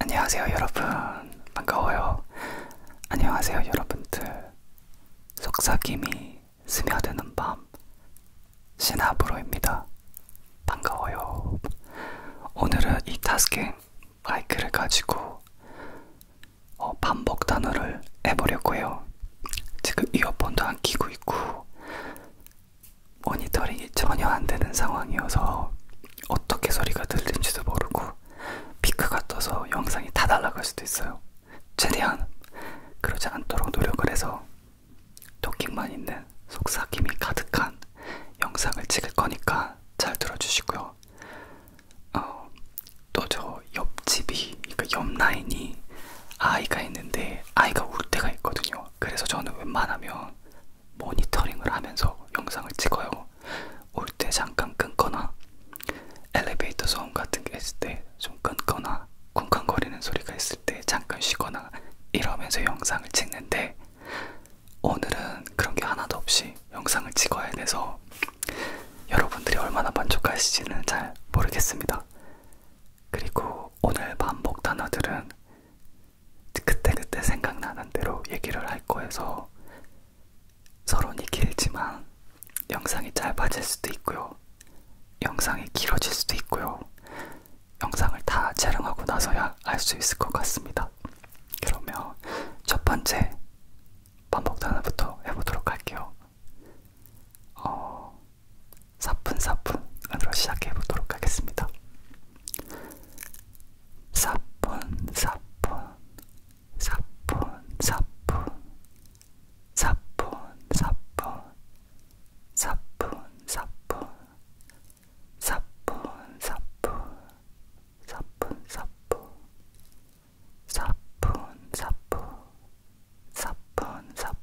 안녕하세요 여러분 반가워요 안녕하세요 여러분들 속삭임이 스며드는 밤 시나브로입니다 반가워요 오늘은 이 타스킹 마이크를 가지고 어, 반복 단어를 해보려고 해요 지금 이어폰도 안 끼고 있고 모니터링이 전혀 안 되는 상황이어서 어떻게 소리가 들리는지도 모르고 피크가 떠서 영상이 다 날아갈 수도 있어요. 최대한 그러지 않도록 노력을 해서 토킹만 있는 속삭임이 가득한 영상을 찍을 거니까 잘 들어주시고요. 어, 또저 옆집이, 그러니까 옆 라인이 아이가 있는데 아이가 울 때가 있거든요. 그래서 저는 웬만하면 모니터링을 하면서 영상을 찍어요. 울 때 잠깐 끊거나 엘리베이터 소음 같은 게 있을 때 좀 끊거나 쿵쾅거리는 소리가 있을 때 잠깐 쉬거나 이러면서 영상을 찍는데 오늘은 그런 게 하나도 없이 영상을 찍어야 돼서 여러분들이 얼마나 만족하실지는 잘 모르겠습니다. 그리고 오늘 반복 단어들은 그때그때 생각나는 대로 얘기를 할 거여서 서론이 길지만 영상이 짧아질 수도 있고요. 영상이 길어질 수도 있고요. 영상을 다 촬영하고 나서야 알 수 있을 것 같습니다. 그러면 첫 번째 반복 단어부터 해보도록 할게요. 어, 사뿐사뿐으로 시작해 보도록 하겠습니다. 사뿐 사뿐 사뿐 사뿐 사뿐 사뿐 사뿐 사뿐 사뿐 사뿐 사뿐 사뿐 사뿐 사뿐 사뿐 사뿐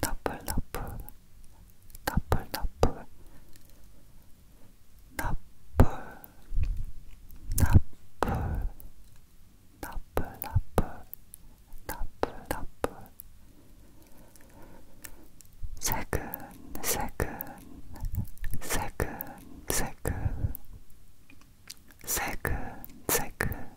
나풀 나풀 나풀 나풀 나풀 나풀 나풀 나풀 나풀 나풀 세근 세근 세근 세근 세근 세근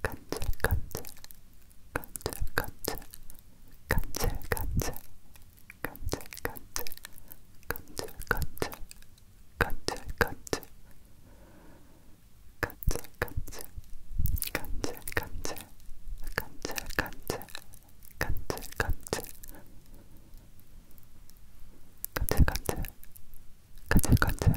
간질간질 간질간질 간질간질 간질간질 간질간질 간질간질 간질간질 간질간질 간질간질 간질간질 간질간질 간질간질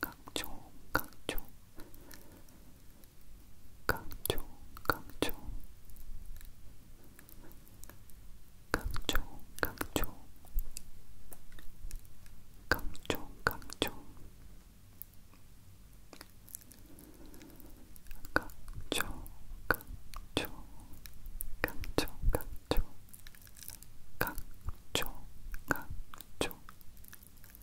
강조 강조 강조 강조 강조 강조 강조 강조 강조 강조 강조 강조 강조 강조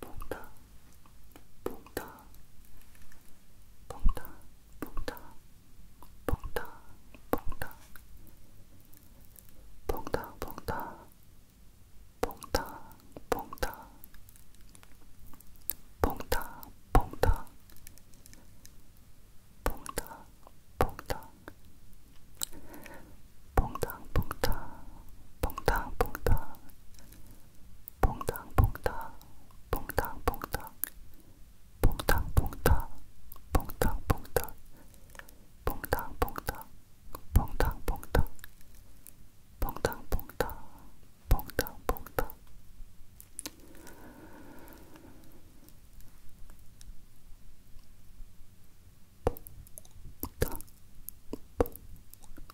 봉다 봉다 봉다 봉다 봉다 봉다 봉다 봉다 봉다 봉다 봉다 봉다 봉다 봉다 봉당 봉당 봉당 봉당 퐁당퐁당 퐁당퐁당 퐁당퐁당 퐁당퐁당 퐁당퐁당 퐁당퐁당 퐁당퐁당 퐁당퐁당 퐁당 퐁당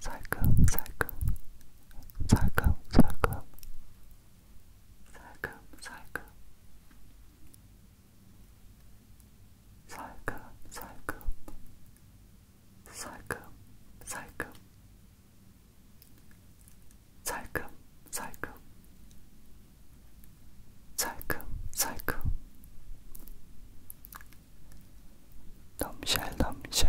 살금 살금 살금 살금 살금 살금 살금 살금 살금 살금 살금 살금 살금 살금 넘실 넘실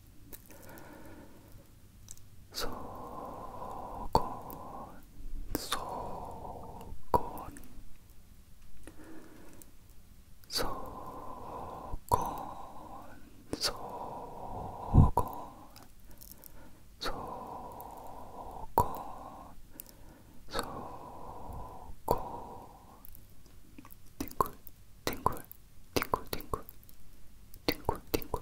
소곤 소곤 소곤 소곤 소곤 소곤 띵굴 띵굴 띵굴 띵굴 띵굴 띵굴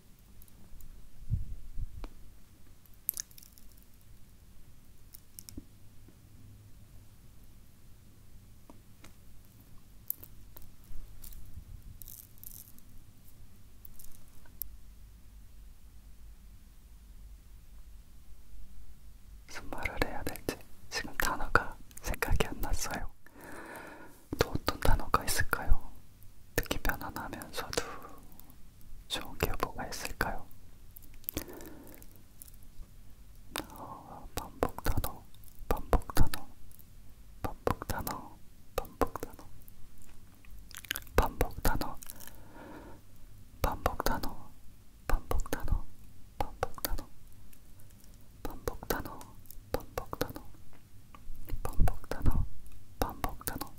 무슨 말을 해야 될지 지금 단어가 생각이 안 났어요. 또 어떤 단어가 있을까요? 듣기 편안하면서도 좋은 게 뭐가 있을까요? 어, 반복 단어, 반복 단어, 반복 단어, 반복 단어, 반복 단어, 반복 단어, 반복 단어, 반복 단어, 반복 단어, 반복 단어, 반복 단어, 반복 단어,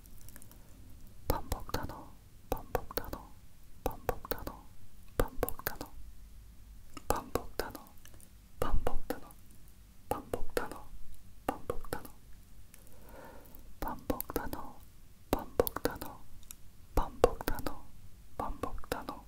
반복 단어, 반복 단어, 반복 단어, 반복 단어, 반복 단어, 반복 단어, 반복 단어, 반복 단어, 반복 단어, 반복 단어, 반복 단어, 반복 단어.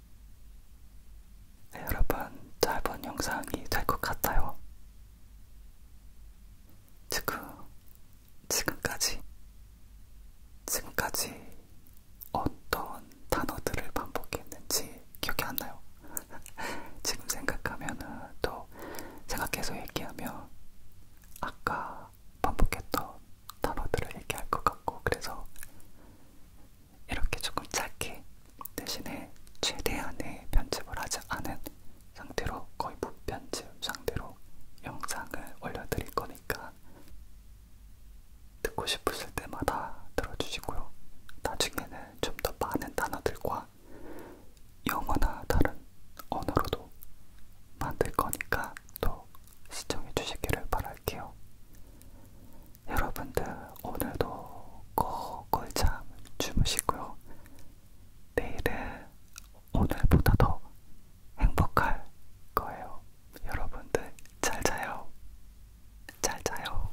네, 여러분 짧은 영상이 될 것 같아요. 지금 지금까지 지금까지 어떤 단어들을 반복했는지 기억이 안 나요. 지금 생각하면은 또 생각해서 얘기하면 아까 반복했던 단어들을 얘기할 것 같고 그래서 이렇게 조금 짧게 대신에 최대한의 편집을 하지 않은 상태로 거의 무편집 상태로 영상을 올려드릴 거니까 듣고 싶으실 때마다 들어주시고요. 나중에는 좀 더 많은 단어들과 영어나 다른 언어로도 만들 거니까 또 시청해 주시기를 바랄 할게요. 여러분들 오늘도 꼭꼭 잠 주무시고요. 내일은 오늘보다 더 행복할 거예요. 여러분들 잘 자요. 잘 자요.